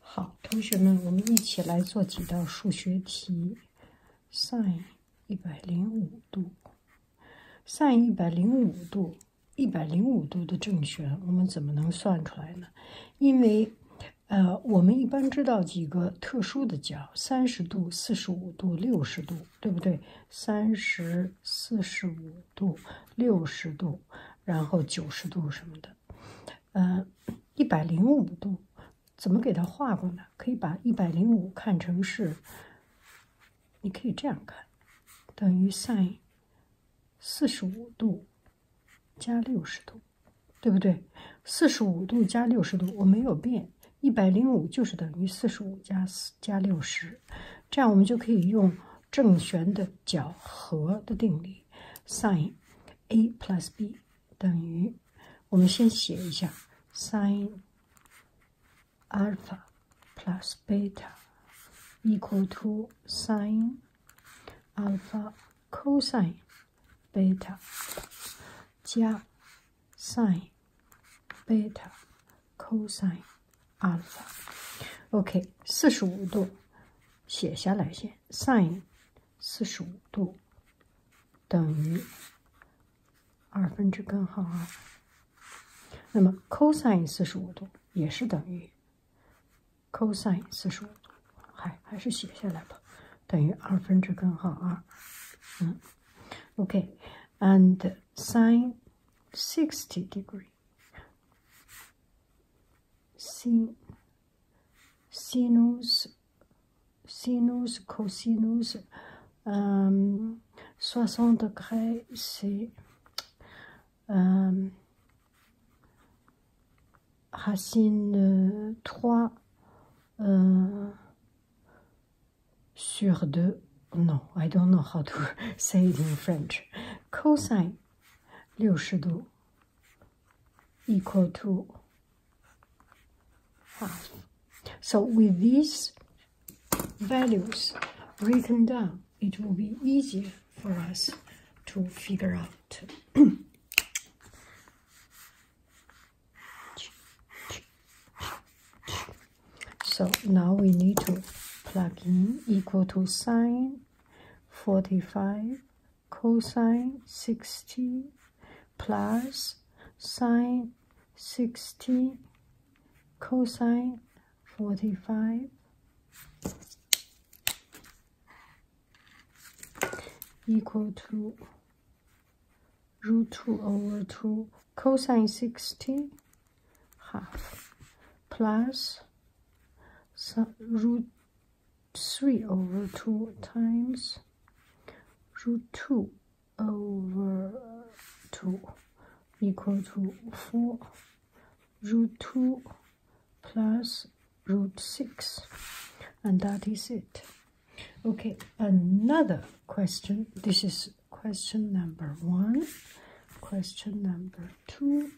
好，同学们，我们一起来做几道数学题。sin 105度，sin 105度，105度的正弦，我们怎么能算出来呢？因为，呃，我们一般知道几个特殊的角：30度、45度、60度，对不对？30、45度、60度，然后90度什么的。呃，一百零五度怎么给它画过呢？可以把一百零五看成是，你可以这样看，等于 sin 四十五度加六十度，对不对？四十五度加六十度我没有变，一百零五就是等于四十五加四加六十，这样我们就可以用正弦的角和的定理。sin a plus b 等于，我们先写一下 sin alpha plus beta equal to sin alpha cosine beta 加 sin beta cosine alpha。OK，四十五度。写下来先，sin 45度等于二分之根号二。那么 cosine 45度也是等于 cosine 45度，还还是写下来吧，等于二分之根号二。嗯，OK，and sine 60 degree。sinus, sinus, cosinus, euh, 60 degrés, c'est euh, racine 3 euh, sur 2. Non, I don't know how to say it in French. Cosine 六十度 equal to half. So with these values written down, it will be easier for us to figure out. so now we need to plug in equal to sine 45 cosine 60 plus sine 60 cosine 45 equal to root 2 over 2 cosine 60 half plus so root 3 over 2 times root 2 over uh, 2 equal to 4 root 2 plus root 6 and that is it okay another question this is question number one question number two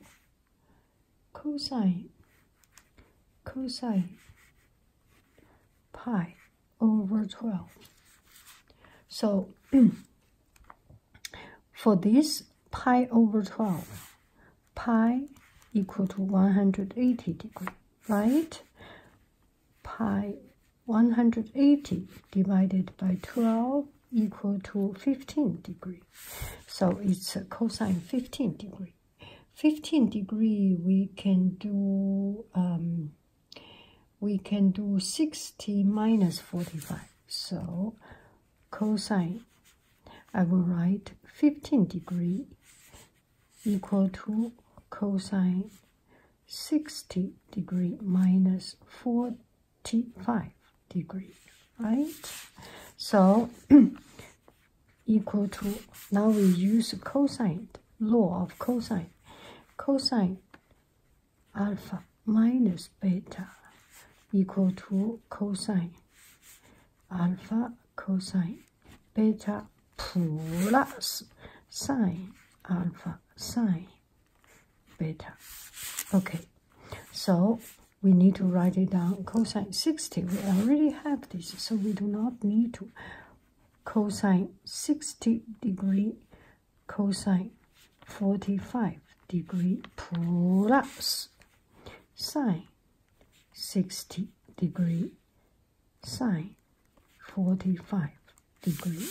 cosine cosine pi over 12 so for this pi over 12 pi equal to 180 degree right pi 180 divided by 12 equal to 15 degree. So it's cosine 15 degree. 15 degree we can do um, we can do 60 minus 45. So cosine I will write 15 degree equal to cosine 60 degree minus 4 5 degree, right? So equal to, now we use cosine, law of cosine. Cosine alpha minus beta equal to cosine alpha cosine beta plus sine alpha sine beta. Okay, so we need to write it down. Cosine 60, we already have this, so we do not need to. Cosine 60 degree, cosine 45 degree plus sine 60 degree, sine 45 degree.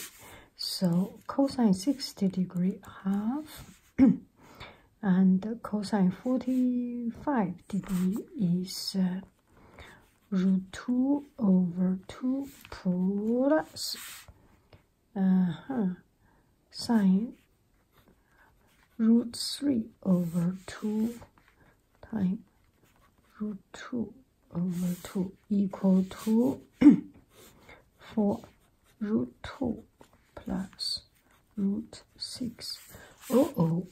So cosine 60 degree half and cosine 45 degree is uh, root 2 over 2 plus uh -huh, sine root 3 over 2 times root 2 over 2 equal to 4 root 2 plus root 6. Oh, oh,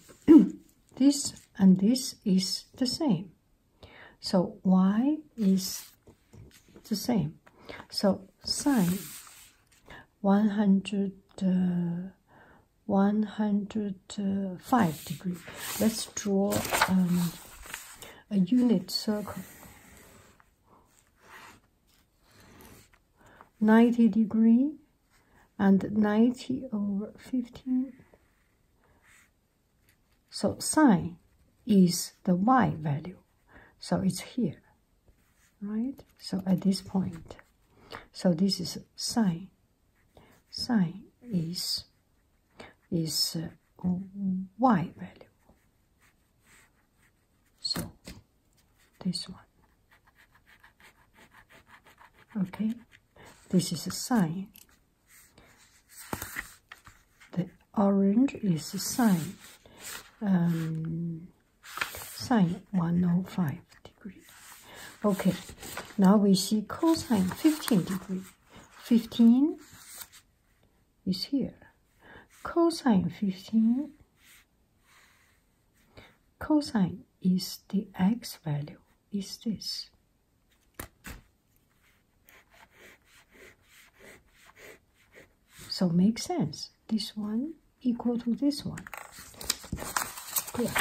this and this is the same. So y is the same. So sine 100, uh, 105 degree. Let's draw um, a unit circle. 90 degree and 90 over 15 so sine is the y value so it's here right so at this point so this is sine sine is is uh, y value so, this one. Okay, this is a sine. The orange is a sign. Um, sine 105 degree. Okay, now we see cosine 15 degree. 15 is here. Cosine 15, cosine is the x value, is this. So makes sense. This one equal to this one. Clear.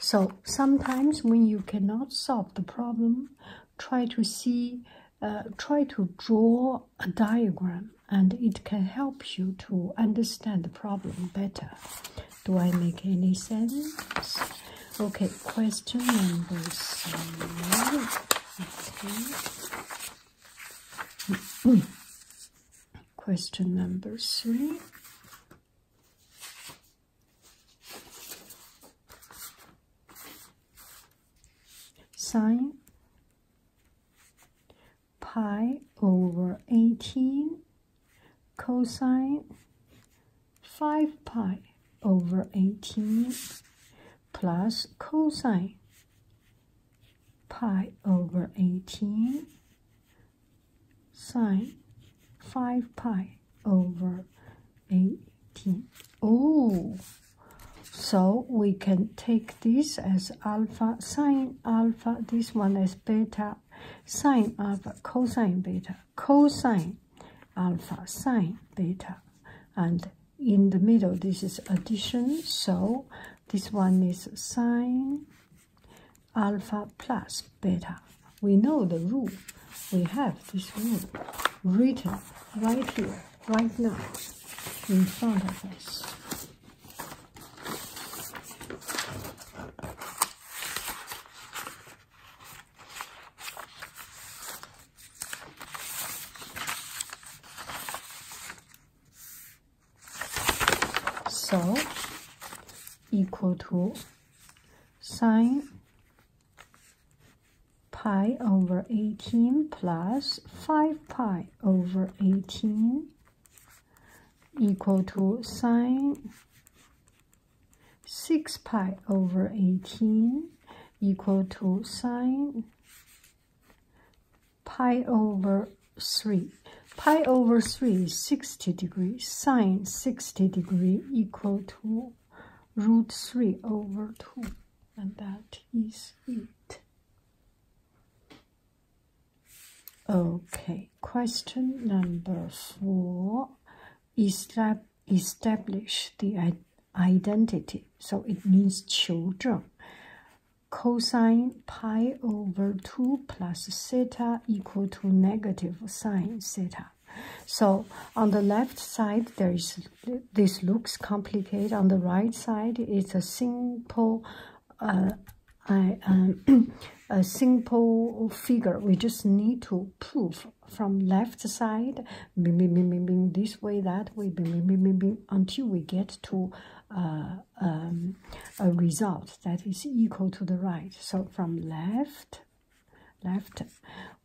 So sometimes when you cannot solve the problem, try to see uh, try to draw a diagram and it can help you to understand the problem better. Do I make any sense? Okay, question number three. Okay. question number three. Sine pi over 18 cosine 5 pi over 18 plus cosine pi over 18 sine 5 pi over 18. Oh! So we can take this as alpha sine alpha, this one as beta sine alpha, cosine beta, cosine alpha, sine beta. And in the middle, this is addition, so this one is sine alpha plus beta. We know the rule. We have this rule written right here right now in front of us. So equal to sine pi over 18 plus 5 pi over 18 equal to sine 6 pi over 18 equal to sine pi over 3. Pi over 3 is 60 degrees. Sine 60 degree equal to root 3 over 2. And that is it. Okay, question number four. Estab establish the identity. So it means children. Cosine pi over 2 plus theta equal to negative sine theta. So on the left side, there is this looks complicated on the right side it's a simple uh, I, um, a simple figure we just need to prove from left side bing, bing, bing, bing, bing, this way that way bing, bing, bing, bing, until we get to uh, um, a result that is equal to the right so from left left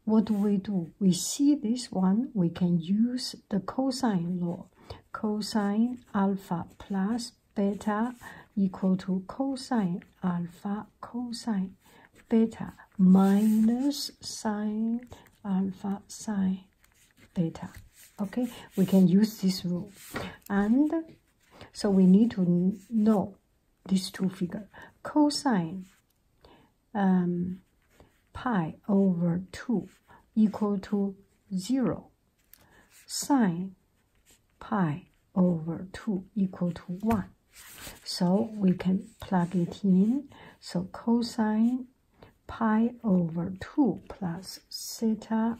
what do we do we see this one we can use the cosine law. Cosine alpha plus beta equal to cosine alpha cosine beta minus sine alpha sine beta. Okay, we can use this rule. And so we need to know these two figures. Cosine um, pi over 2 equal to 0. Sine pi over 2 equal to 1. So we can plug it in. So cosine pi over 2 plus theta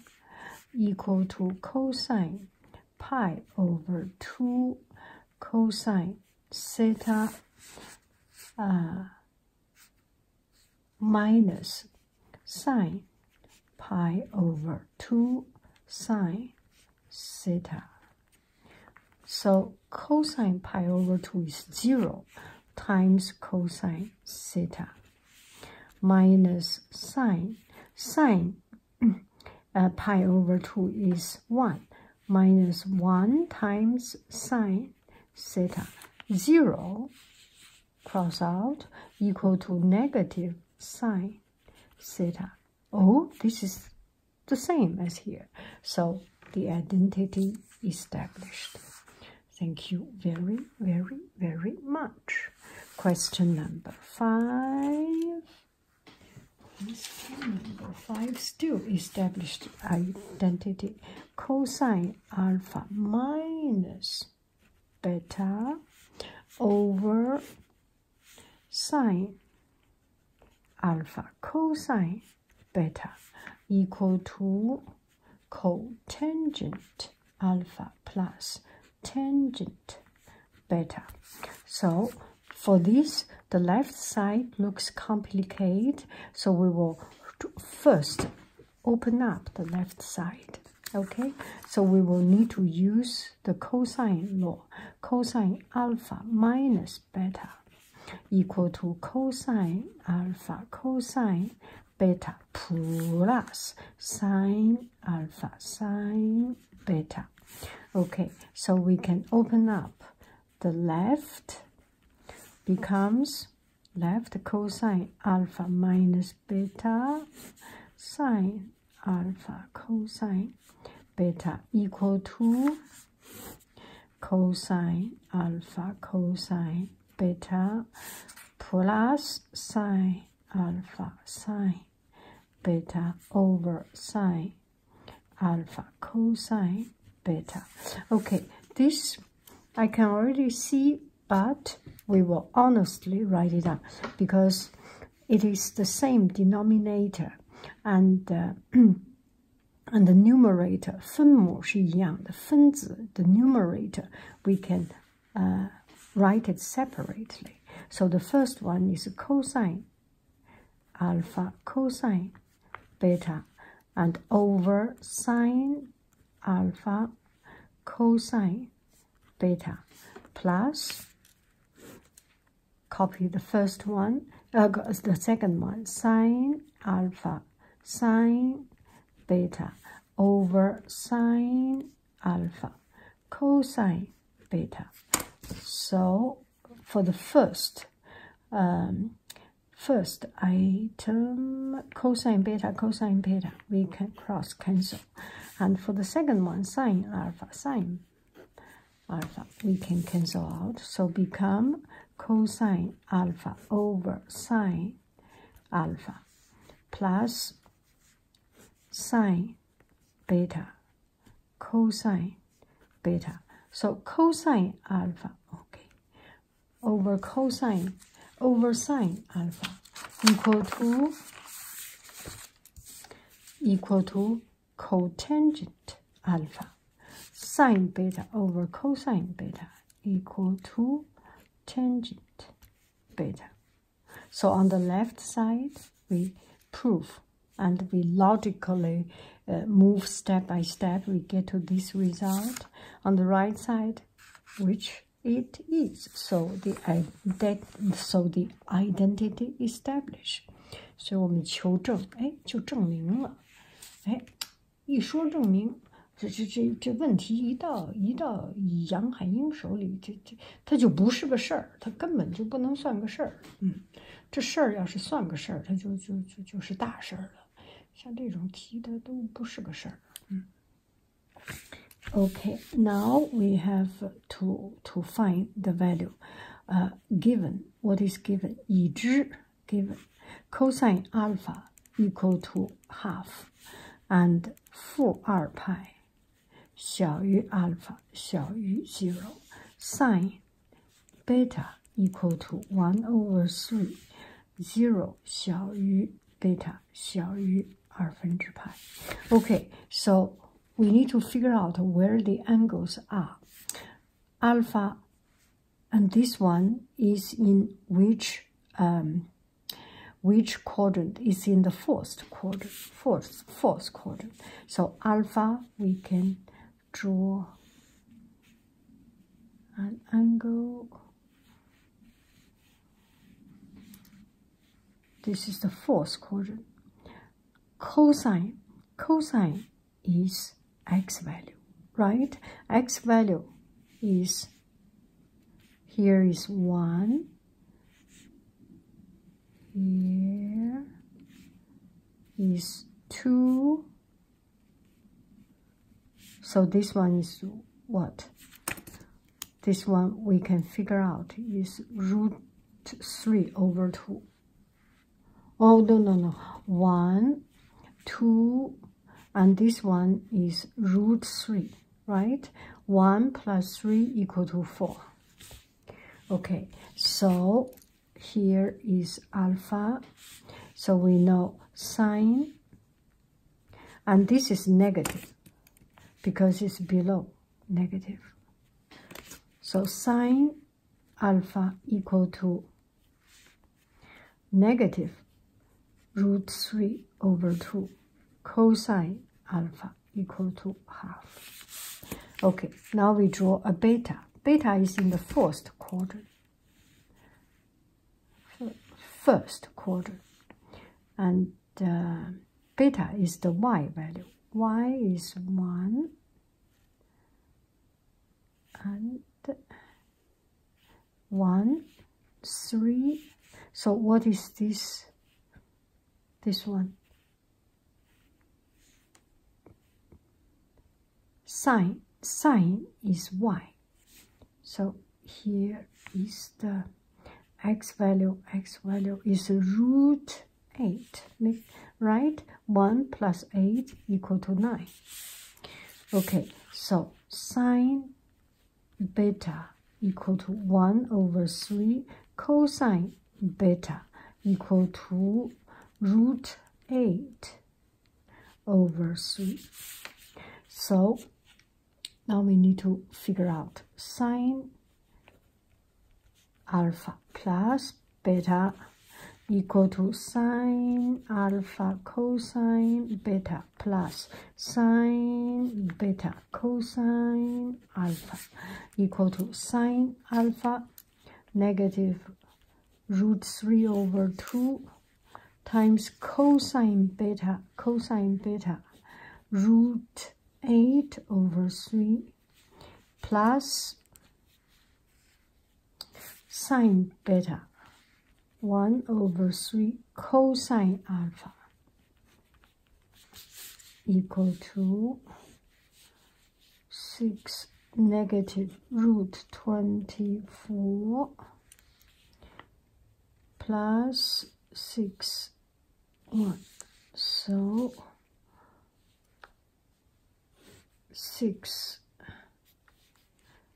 equal to cosine pi over 2 cosine theta uh, minus sine pi over 2 sine theta. So cosine pi over 2 is 0 times cosine theta minus sine. Sine uh, pi over 2 is 1 minus 1 times sine theta 0 cross out equal to negative sine theta. Oh, this is the same as here. So the identity established. Thank you very, very, very much. Question number five. Number five still established identity cosine alpha minus beta over sine alpha cosine beta equal to cotangent alpha plus tangent beta. So for this, the left side looks complicated so we will first open up the left side okay so we will need to use the cosine law cosine alpha minus beta equal to cosine alpha cosine beta plus sine alpha sine beta okay so we can open up the left becomes left cosine alpha minus beta sine alpha cosine beta equal to cosine alpha cosine beta plus sine alpha sine beta over sine alpha cosine beta. Okay, this I can already see, but we will honestly write it up because it is the same denominator and uh, and the numerator 分母是一样的，分子 the numerator we can uh, write it separately. So the first one is cosine alpha cosine beta and over sine alpha cosine beta plus copy the first one uh, the second one sine alpha sine beta over sine alpha cosine beta so for the first um, First item, cosine beta, cosine beta, we can cross cancel. And for the second one, sine alpha, sine alpha, we can cancel out. So become cosine alpha over sine alpha plus sine beta cosine beta. So cosine alpha, okay, over cosine, over sine alpha equal to equal to cotangent alpha sine beta over cosine beta equal to tangent beta. So on the left side, we prove and we logically uh, move step by step, we get to this result on the right side, which it is. So the, ident so the identity established. 所以我们求证，哎，就证明了。哎，一说证明，这这这这问题一到一到杨海英手里，这这它就不是个事儿，它根本就不能算个事儿。嗯。这事儿要是算个事儿，它就就就就是大事儿了。像这种题，它都不是个事儿。嗯。Okay, now we have to to find the value. 呃，Given what is given 已知 Given cosine alpha equal to half and 负二派小于 alpha 小于 zero sine Beta equal to one over three three Okay, so we need to figure out where the angles are. Alpha and this one is in which um, which quadrant is in the fourth quadrant, fourth, fourth quadrant. So alpha we can draw an angle this is the fourth quadrant cosine cosine is x value right x value is here is 1 here is 2 so this one is what? This one we can figure out is root 3 over 2. Oh, no, no, no. 1, 2, and this one is root 3, right? 1 plus 3 equal to 4. Okay, so here is alpha so we know sine and this is negative because it's below negative so sine alpha equal to negative root 3 over 2 cosine alpha equal to half okay now we draw a beta beta is in the first quarter. First quarter, And uh, beta is the y value. y is 1 and 1, 3. So what is this? This one Sine, sine is y. So here is the x value, x value is root 8, right? 1 plus 8 equal to 9. Okay, so sine beta equal to 1 over 3 cosine beta equal to root 8 over 3. So now we need to figure out sine alpha plus beta equal to sine alpha cosine beta plus sine beta cosine alpha equal to sine alpha negative root 3 over 2 times cosine beta cosine beta root 8 over 3 plus sine beta 1 over 3 cosine alpha equal to 6 negative root 24 plus 6 1 so 6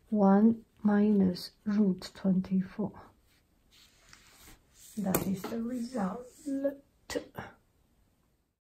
1 minus root 24 that is the result